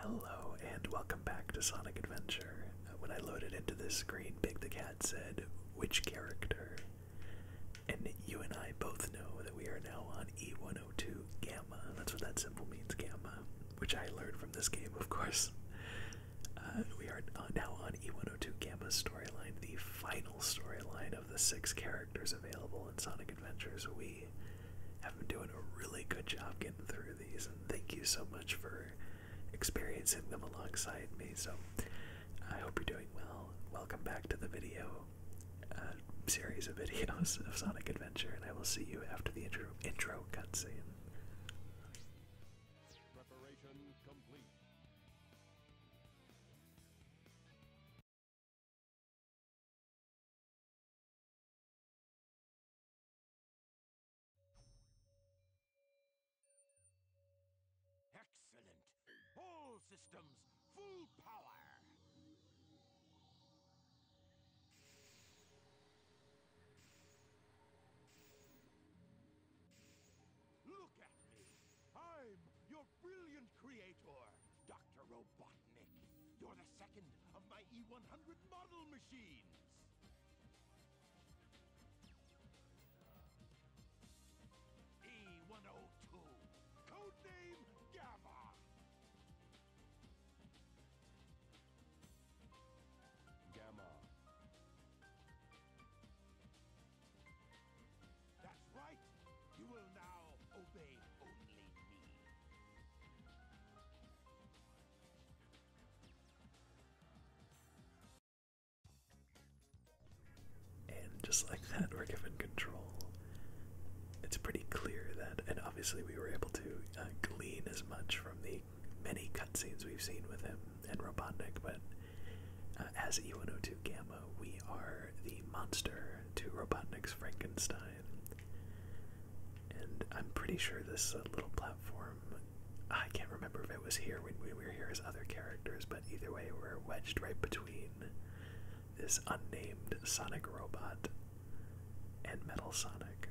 Hello, and welcome back to Sonic Adventure. Uh, when I loaded into this screen, Big the Cat said, Which character? And you and I both know that we are now on E102 Gamma. That's what that symbol means, Gamma, which I learned from this game, of course. Uh, we are uh, now on E102 Gamma storyline, the final storyline of the six characters available in Sonic Adventures Wii i have been doing a really good job getting through these, and thank you so much for experiencing them alongside me. So, I hope you're doing well. Welcome back to the video uh, series of videos of Sonic Adventure, and I will see you after the intro, intro cutscene. Excellent. All systems, full power. Look at me. I'm your brilliant creator, Dr. Robot. Robotnik, you're the second of my E100 model machines! E102, codename Gamma! Gamma. That's right! You will now obey only me. And just like that, we're given control. It's pretty clear that, and obviously, we were able to uh, glean as much from the many cutscenes we've seen with him and Robotnik, but uh, as E102 Gamma, we are the monster to Robotnik's Frankenstein and I'm pretty sure this uh, little platform, I can't remember if it was here when we were here as other characters, but either way, we're wedged right between this unnamed Sonic robot and Metal Sonic.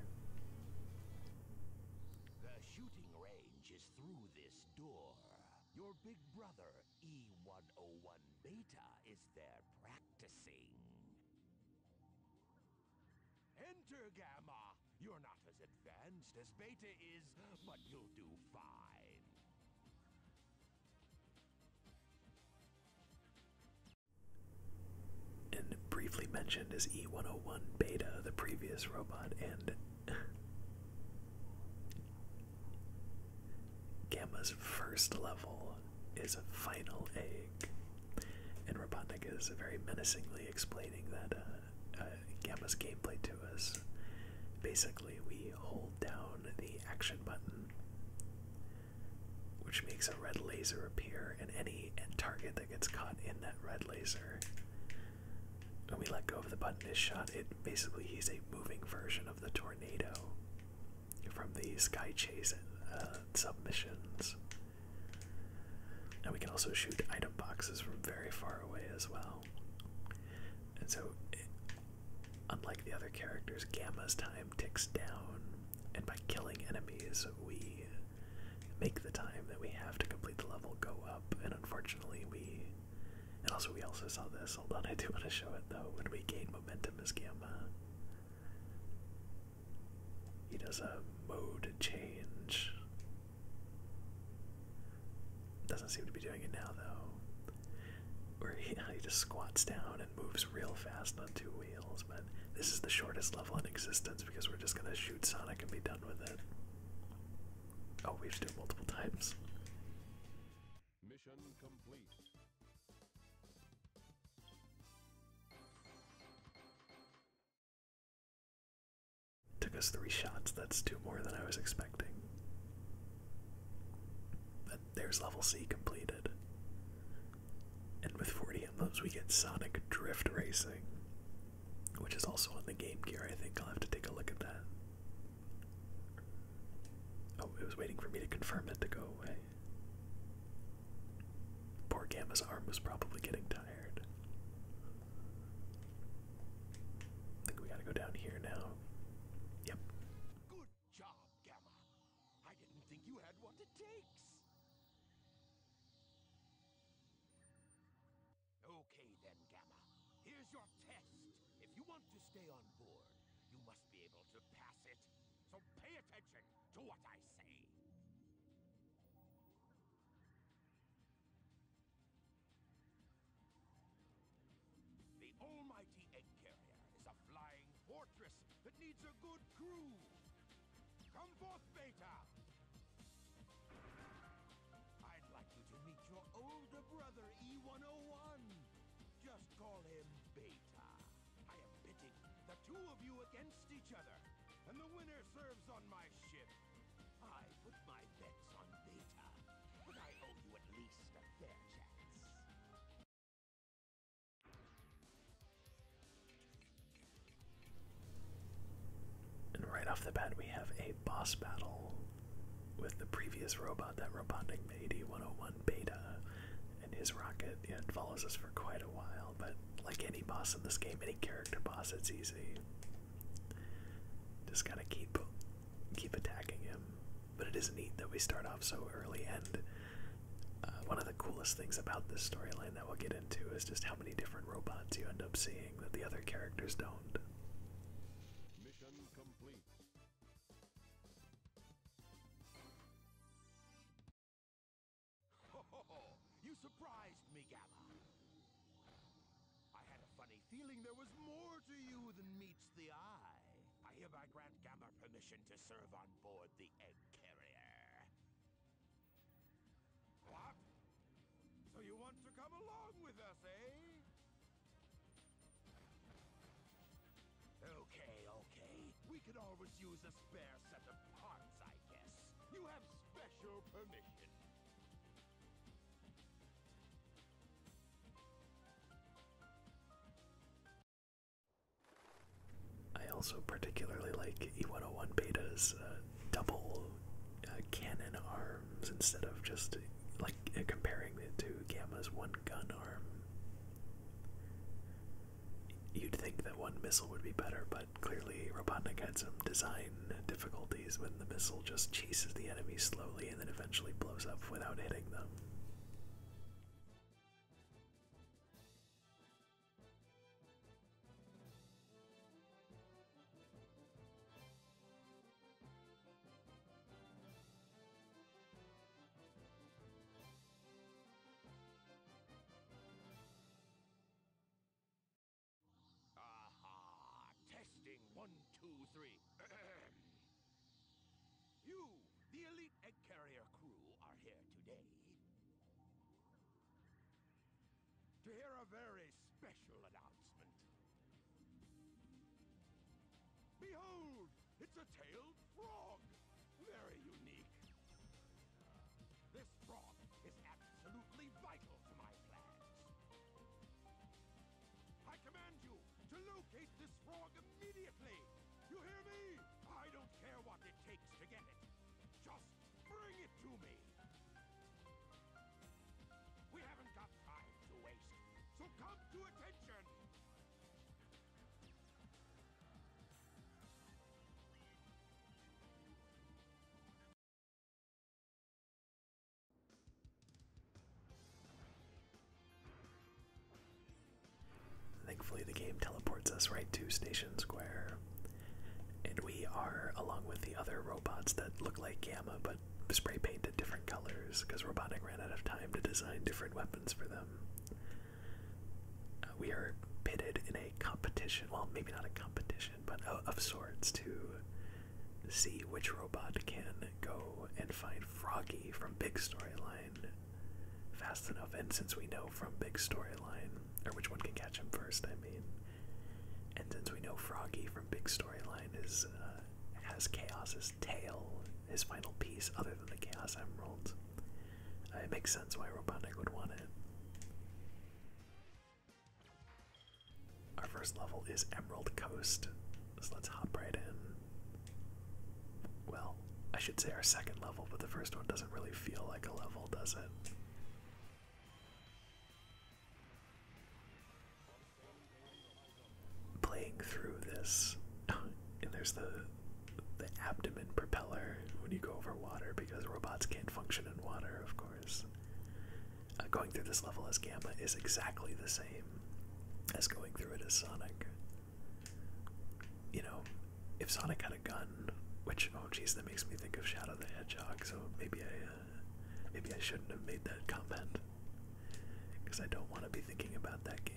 The shooting range is through this door. Your big brother, E101 Beta, is there practicing. Enter, Gamma. You're not as advanced as Beta is, but you'll do fine. And briefly mentioned as E101 Beta, the previous robot, and Gamma's first level is a final egg. And Rabonik is very menacingly explaining that uh, uh, Gamma's gameplay to us. Basically, we hold down the action button, which makes a red laser appear, and any target that gets caught in that red laser. When we let go of the button, is shot. It basically he's a moving version of the tornado from these Sky Chase uh, submissions. And we can also shoot item boxes from very far away as well. And so, unlike the other characters, Gamma's time ticks down, and by killing enemies, we make the time that we have to complete the level go up. And unfortunately, we. And also, we also saw this. Hold I do want to show it though. When we gain momentum as Gamma, he does a mode change. Doesn't seem to be doing it now though. Where he, just squats down and moves real fast on two wheels, but this is the shortest level in existence because we're just gonna shoot Sonic and be done with it. Oh, we've done multiple times. Mission complete. Took us three shots, that's two more than I was expecting. But there's level C completed. And with 40 emblems, we get Sonic Drift Racing, which is also on the Game Gear. I think I'll have to take a look at that. Oh, it was waiting for me to confirm it to go away. Poor Gamma's arm was probably getting tired. I think we gotta go down here now. Yep. Good job, Gamma. I didn't think you had what it takes. Okay then, Gamma. Here's your test. If you want to stay on board, you must be able to pass it. So pay attention to what I say. The almighty egg carrier is a flying fortress that needs a good crew. Come forth, Beta! I'd like you to meet your older brother, E-101. Just call him Beta. I am pitting the two of you against each other, and the winner serves on my ship. I put my bets on Vegeta, but I owe you at least a fair chance. And right off the bat, we have a boss battle with the previous robot that Robotnik made, E101 Beta and his rocket you follows us for quite a while. But like any boss in this game, any character boss, it's easy. Just gotta keep keep attacking him. But it is neat that we start off so early, and uh, one of the coolest things about this storyline that we'll get into is just how many different robots you end up seeing that the other characters don't. Mission complete. Oh, you surprised me, Gamma. I had a funny feeling there was more to you than meets the eye. I hereby grant Gamma permission to serve on board the egg carrier. What? So you want to come along with us, eh? Okay, okay. We could always use a spare set of parts, I guess. You have special permission. I also particularly like E101 Beta's uh, double uh, cannon arms instead of just like comparing it to Gamma's one gun arm. You'd think that one missile would be better, but clearly Robotnik had some design difficulties when the missile just chases the enemy slowly and then eventually blows up without hitting them. Testing one, two, three. you, the elite egg carrier crew, are here today to hear a very special announcement. Behold, it's a tailed frog! Very unique. Uh, this frog is absolutely vital to my plans. I command you to locate this frog immediately! You hear me? I don't care what it takes to get it. Just bring it to me! We haven't got time to waste, so come to attention! Thankfully, the game teleports us right to Station Square. And we are, along with the other robots that look like Gamma but spray painted different colors, because Robotic ran out of time to design different weapons for them we are pitted in a competition. Well, maybe not a competition, but of sorts to see which robot can go and find Froggy from Big Storyline fast enough. And since we know from Big Storyline, or which one can catch him first, I mean, and since we know Froggy from Big Storyline is uh, has Chaos's tail, his final piece, other than the Chaos Emerald. It makes sense why Robotnik would want it. Our first level is Emerald Coast, so let's hop right in. Well, I should say our second level, but the first one doesn't really feel like a level, does it? Playing through this, and there's the the abdomen propeller when you go over water because robots can't function in water, of course. Uh, going through this level as Gamma is exactly the same as going through it as Sonic. You know, if Sonic had a gun, which oh geez, that makes me think of Shadow the Hedgehog. So maybe I, uh, maybe I shouldn't have made that comment because I don't want to be thinking about that game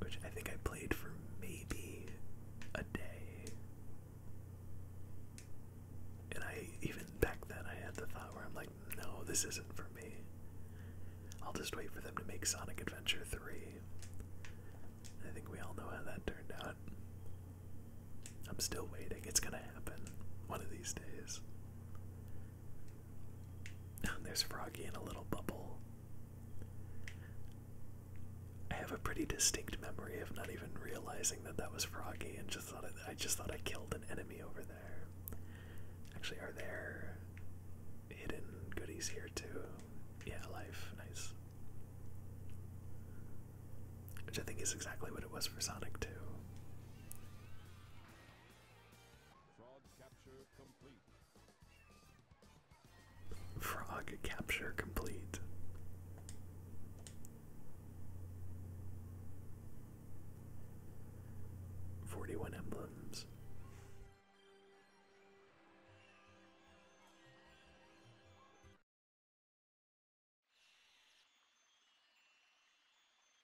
which I think I played for maybe a day. And I, even back then, I had the thought where I'm like, no, this isn't for me. I'll just wait for them to make Sonic Adventure 3. I think we all know how that turned out. I'm still waiting. It's gonna happen one of these days. Oh, there's Froggy in a little bubble. I have a pretty distinct memory of not even realizing that that was Froggy, and just thought I just thought I killed an enemy over there. Actually, are there hidden goodies here too? Yeah, life, nice. Which I think is exactly what it was for Sonic 2. Frog capture complete. Forty one emblems.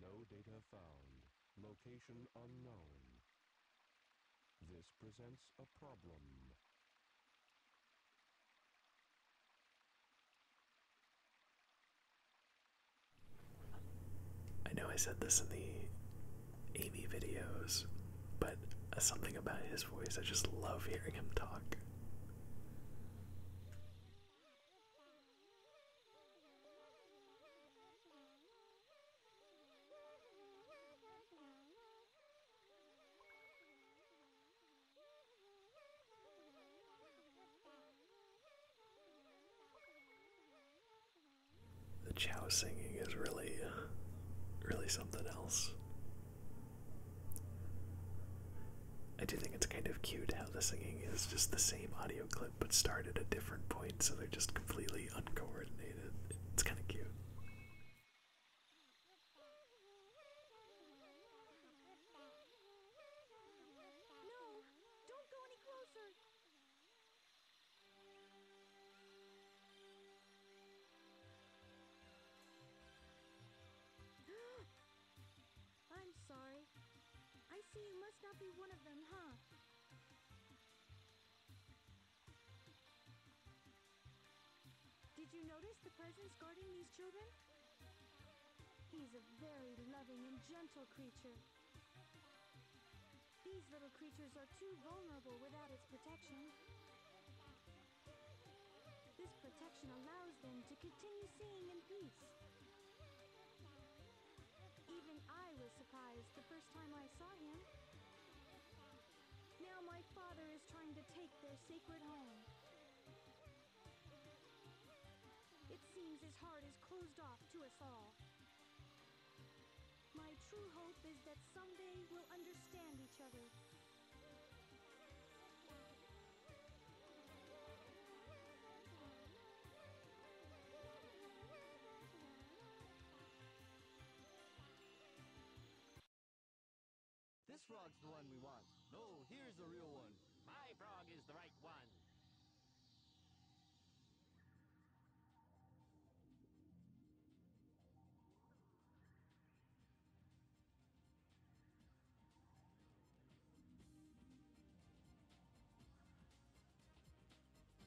No data found. Location unknown. This presents a problem. I know I said this in the Amy videos, but uh, something about his voice, I just love hearing him talk. The chow singing is really, uh, really something else. I do think it's kind of cute how the singing is just the same audio clip but start at a different point, so they're just completely uncoordinated. It's kind of cute. I'm sorry. I see you must not be one of them, huh? Did you notice the presence guarding these children? He's a very loving and gentle creature. These little creatures are too vulnerable without its protection. This protection allows them to continue seeing in peace. Even I was surprised the first time I saw him. Now my father is trying to take their sacred home. It seems his heart is closed off to us all. My true hope is that someday we'll understand each other this frog's the one we want. No, here's the real one. My frog is the right one.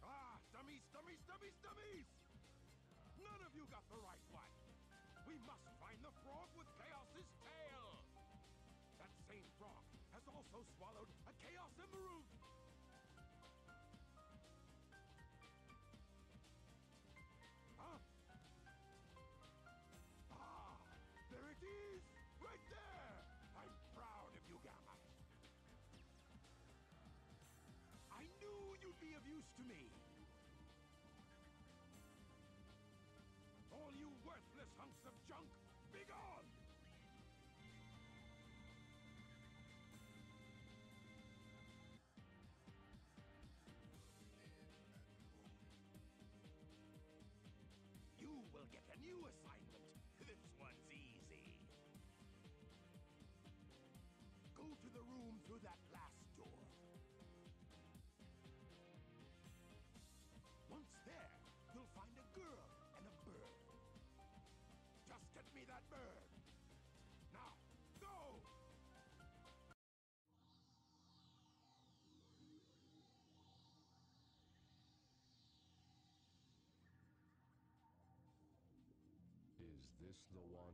Ah, dummies, dummies, dummies, dummies! None of you got the right one! We must find the frog with Chaos's tail! That same frog has also swallowed a Chaos Emerald! Huh? Ah, there it is! Right there! I'm proud of you, Gamma. I knew you'd be of use to me. All you worthless hunks of junk, begone! You will get a new assignment. This one's easy. Go to the room through that last door. Once there, you'll find a girl and a bird. Just get me that bird. Now, go! Is this the one?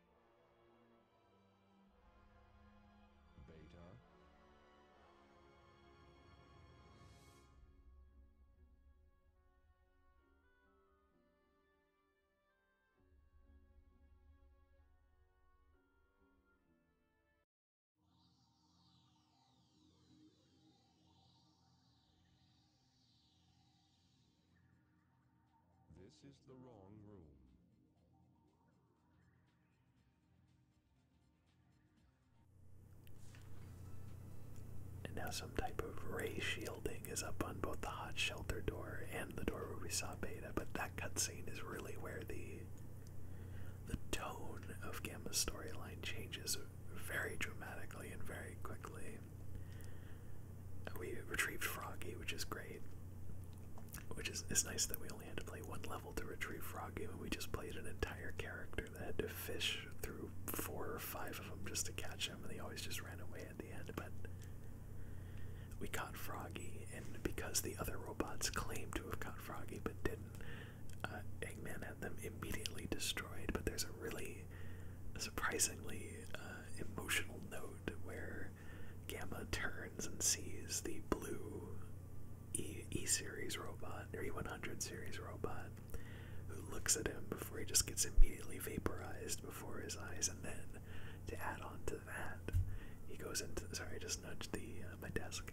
Beta. This is the wrong room. And now some type of ray shielding is up on both the hot shelter door and the door where we saw Beta, but that cutscene is really where the the tone of Gamma's storyline changes very dramatically and very quickly. We retrieved Froggy, which is great. Which is it's nice that we only had to play one level to retrieve Froggy, and we just played an entire character that had to fish through four or five of them just to catch him, and they always just ran away at the end. But we caught Froggy, and because the other robots claimed to have caught Froggy but didn't, uh, Eggman had them immediately destroyed. But there's a really surprisingly uh, emotional note where Gamma turns and sees the blue E, series robot, or E100 series robot, who looks at him before he just gets immediately vaporized before his eyes. And then, to add on to that, he goes into. Sorry, I just nudged the uh, my desk.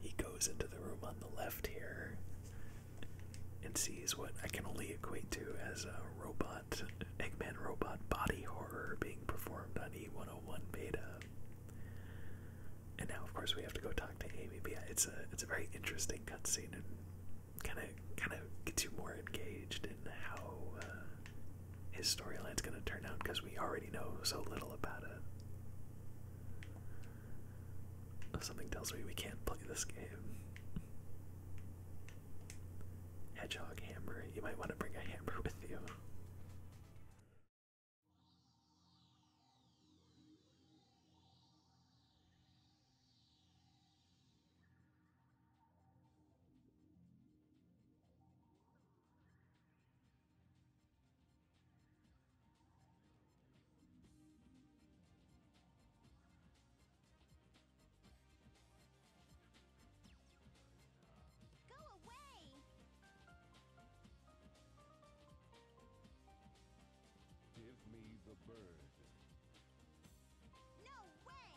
He goes into the room on the left here and sees what I can only equate to as a robot and Eggman Robot Body Horror being performed on E101 Beta. And now, of course, we have to go talk to Amy. yeah, it's a it's a very interesting cutscene and kind of kind of gets you more engaged in how uh, his storyline's going to turn out because we already know so little about it. Something tells me we can't play this game. Hedgehog hammer. You might want to bring a hammer with you. Give me the bird. No way!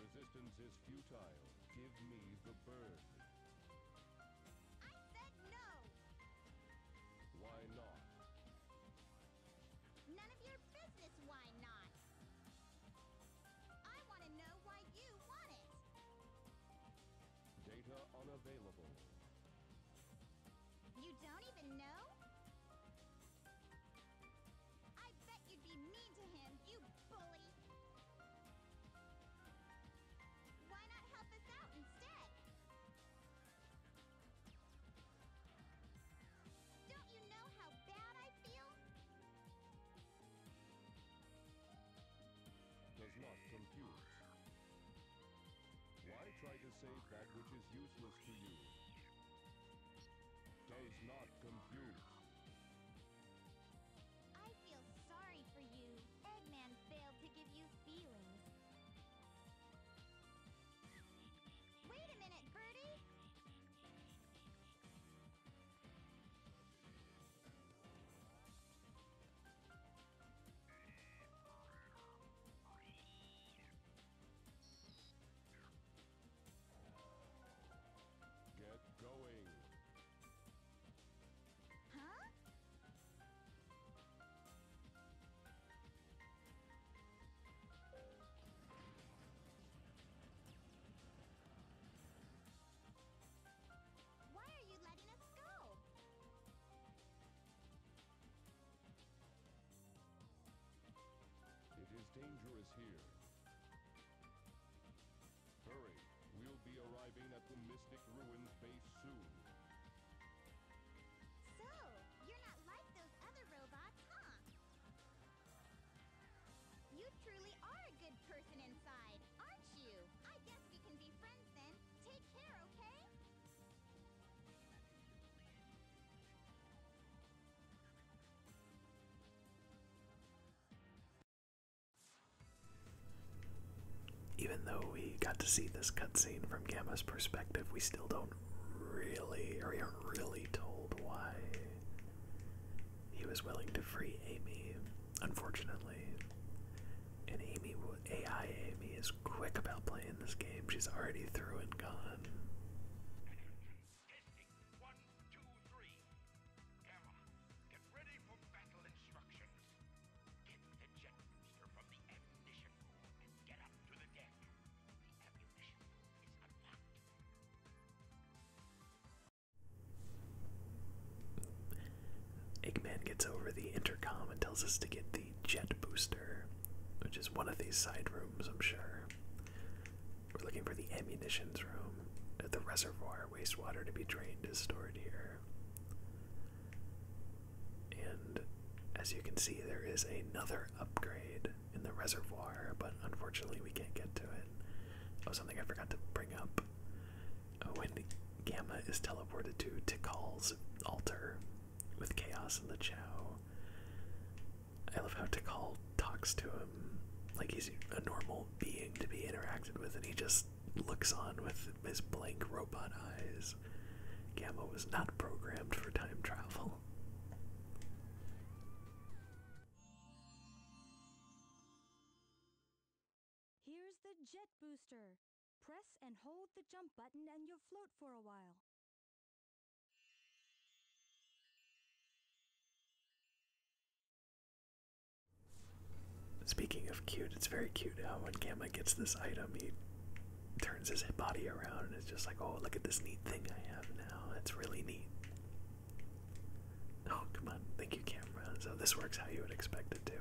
Resistance is futile. Give me the bird. I said no! Why not? None of your business why not. I want to know why you want it. Data unavailable. You don't even know? I bet you'd be mean to him, you bully! Why not help us out instead? Does not compute. Why try to save that which is useless to you? Does not compute. I feel sorry for you. Eggman failed to give you feelings. Wait a minute, Birdie! Get going. Huh? It is dangerous here. Hurry, we'll be arriving at the Mystic Ruins base soon. So, you're not like those other robots, huh? You truly are a good person inside, aren't you? I guess we can be friends then. Take care, okay? Even though we got to see this cutscene from Gamma's perspective, we still don't really, aren't really told why he was willing to free Amy, unfortunately. And Amy, AI Amy, is quick about playing this game. She's already through and gone. One, two, three. Gamma, get ready for battle instructions. Get the jet booster from the ammunition room and get up to the deck. Eggman gets over the intercom and tells us to get the jet booster, which is one of these side rooms, I'm sure. We're looking for the ammunitions room. The reservoir wastewater to be drained is stored here. And as you can see, there is another upgrade in the reservoir, but unfortunately we can't get to it. Oh, something I forgot to bring up. Oh, when Gamma is teleported to Tikal's altar with Chaos in the Chow, I love how Tikal talks to him like he's a normal being to be interacted with, and he just looks on with his blank robot eyes. Gamma was not programmed for time travel. Here's the jet booster. Press and hold the jump button and you'll float for a while. Speaking of cute, it's very cute how when Gamma gets this item, he turns his body around and it's just like, oh, look at this neat thing I have now. That's really neat. Oh, come on. Thank you, camera. So this works how you would expect it to.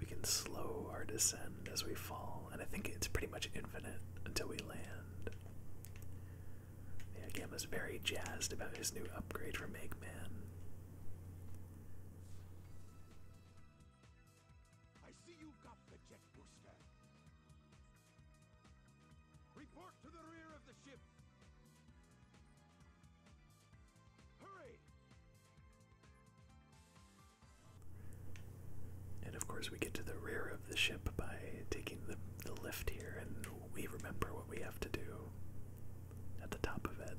We can slow our descent as we fall, and I think it's pretty much infinite until we land. Yeah, Gamma's very jazzed about his new upgrade from Eggman. I see you got the jet booster. Report to the rear of the ship! Hurry! And of course, we get to the rear of the ship by taking the, the lift here, and we remember what we have to do at the top of it.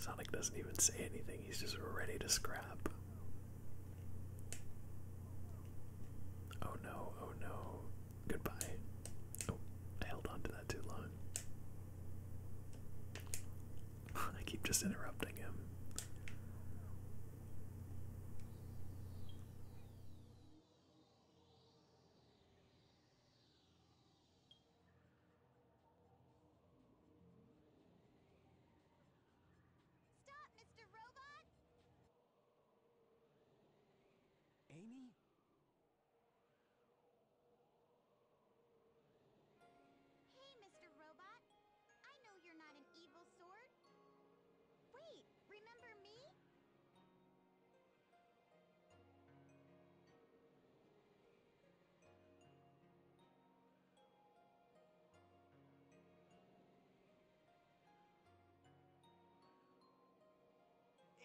Sonic doesn't even say anything, he's just ready to scrap. Oh no, oh no. Goodbye. Oh, I held on to that too long. I keep just interrupting him. Stop, Mr. Robot. Amy? Hey, Mr. Robot. I know you're not an evil sword. Wait, remember me?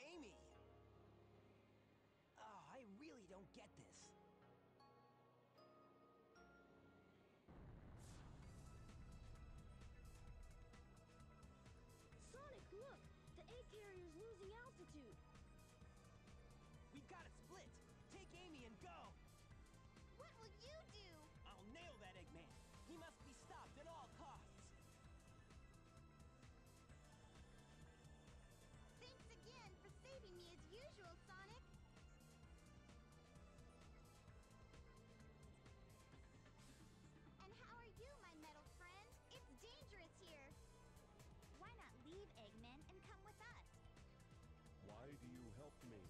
Amy! Ah, I really don't get this. Sonic, look! The egg carrier's losing altitude! We've got to split! Take Amy and go! What will you do? I'll nail that Eggman! He must be stopped at all costs! Thanks again for saving me as usual, and how are you, my metal friend? It's dangerous here! Why not leave, Eggman, and come with us? Why do you help me?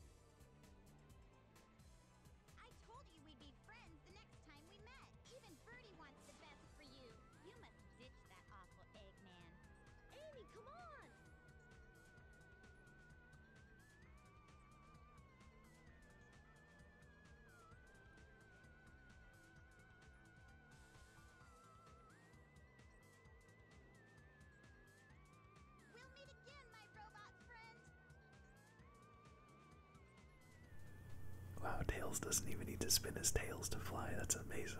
I told you we'd be friends the next time we met. Even Birdie wants the best for you. You that awful Eggman. Amy, come on! Wow, Tails doesn't even need to spin his tails to fly. That's amazing.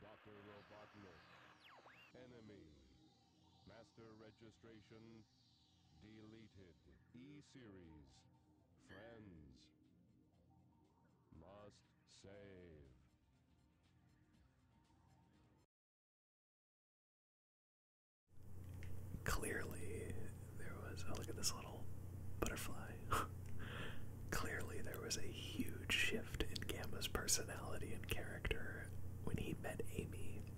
Dr. Robotnik. Enemy. Master registration deleted. E-Series. Friends. Must save. Clearly, there was. Oh, look at this little butterfly. Clearly, there was a huge shift in Gamma's personality and character when he met Amy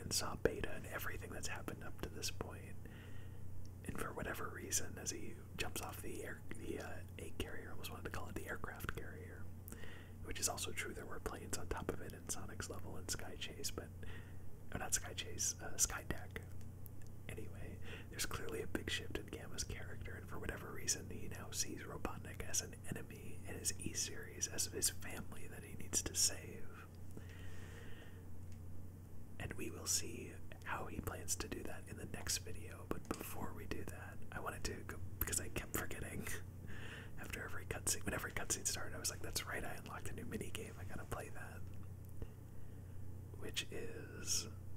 and saw Beta and everything that's happened up to this point. And for whatever reason, as he jumps off the air, the uh, carrier, I almost wanted to call it the aircraft carrier, which is also true. There were planes on top of it in Sonic's level and Sky Chase, but. not Sky Chase, uh, Sky Deck. Anyway, there's clearly a big shift in Gamma's character, and for whatever reason, he now sees Robotnik as an enemy and his E series as his family that he needs to save. And we will see how he plans to do that in the next video. But before we do that, I wanted to go because I kept forgetting after every cutscene. Whenever a cutscene started, I was like, that's right, I unlocked a new mini game. I gotta play that. Which is.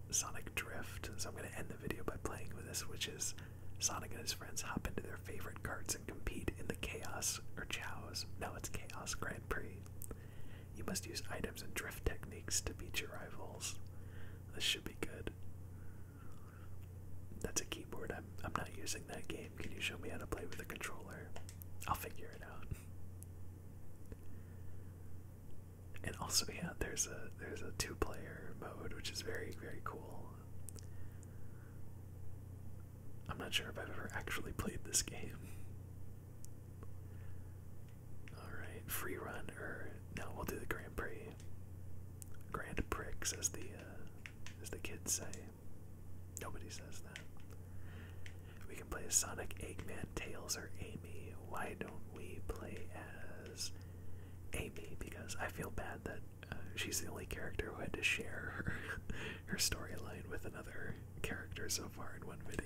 Sonic Drift. So I'm going to end the video by playing with this, which is Sonic and his friends hop into their favorite carts and compete in the Chaos or Chaos. No, it's Chaos Grand Prix. You must use items and drift techniques to beat your rivals. This should be good. That's a keyboard. I'm, I'm not using that game. Can you show me how to play with a controller? I'll figure it out and also yeah, there's a there's a two-player mode which is very very cool. I'm not sure if I've ever actually played this game. Alright, free run, or no, we'll do the Grand Prix. Grand pricks, as the uh, as the kids say. Nobody says that. We can play as Sonic, Eggman, Tails, or Amy. Why don't we play as? Amy because I feel bad that uh, she's the only character who had to share her, storyline with another character so far in one video.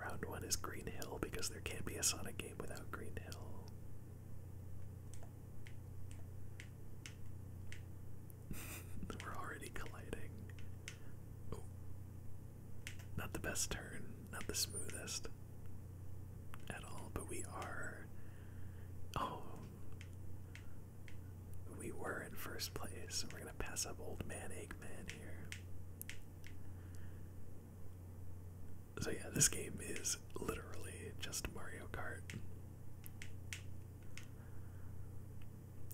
Round one is Green Hill because there can't be a Sonic game without Green Hill. We're already colliding. Oh. Not the best turn, not the smoothest at all, but we are. Oh. We were in first place, and we're going to pass up Old Man Eggman here. So, yeah, this game is literally just Mario Kart.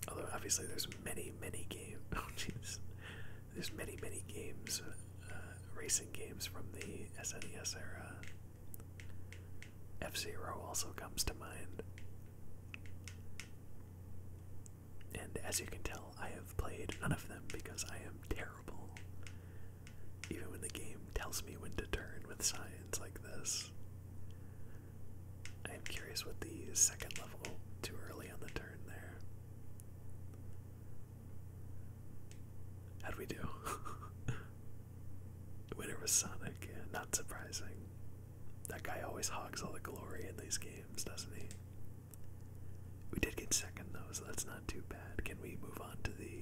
Although obviously there's many, many games. Oh jeez, there's many, many games, uh, racing games from the SNES era. F Zero also comes to mind, and as you can tell, I have played none of them because I am terrible. Even when the game tells me when to turn with signs like this, I am curious what the second level. too early on the turn there. How'd we do? winner was Sonic, yeah, not surprising. That guy always hogs all the glory in these games, doesn't he? We did get second though, so that's not too bad. Can we move on to the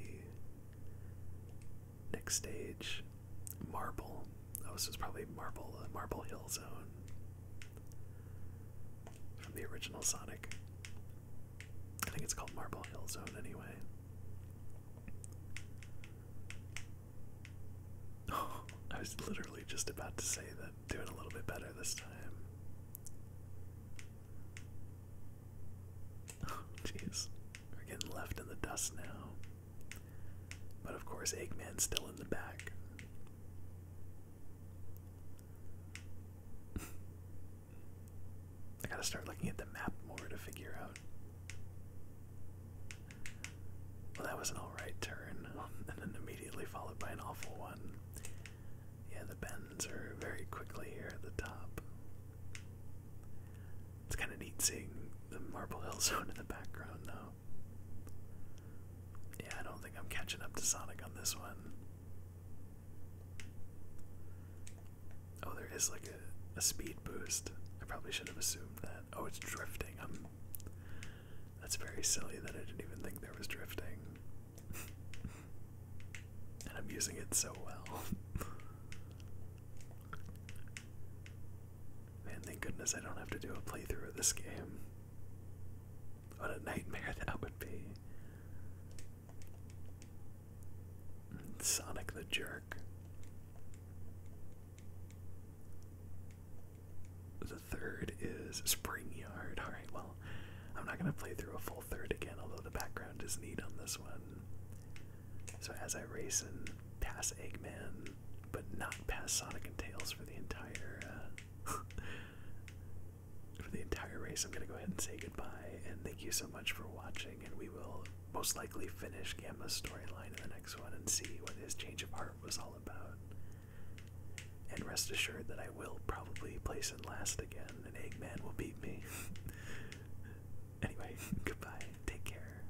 next stage? Marble. Oh, this is probably Marble, uh, Marble Hill Zone. From the original Sonic. I think it's called Marble Hill Zone anyway. Oh, I was literally just about to say that doing a little bit better this time. Oh, jeez. We're getting left in the dust now. But of course, Eggman's still in the back. I gotta start looking at the map more to figure out. Well, that was an alright turn, and then immediately followed by an awful one. Yeah, the bends are very quickly here at the top. It's kind of neat seeing the Marble Hill Zone in the background, though. Yeah, I don't think I'm catching up to Sonic on this one. Oh, there is like a, speed boost. I probably should have assumed that. Oh, it's drifting. I'm, um, that's very silly that I didn't even think there was drifting. and I'm using it so well. Man, thank goodness I don't have to do a playthrough of this game. What a nightmare that would be. Sonic the Jerk. The third is Spring Yard. Alright, well, I'm not going to play through a full third again, although the background is neat on this one. So as I race and pass Eggman, but not past Sonic and Tails for the entire uh, for the entire race. I'm gonna go ahead and say goodbye and thank you so much for watching. And we will most likely finish Gamma's storyline in the next one and see what his change of heart was all about. And rest assured that I will probably place in last again, and Eggman will beat me. anyway, goodbye. Take care.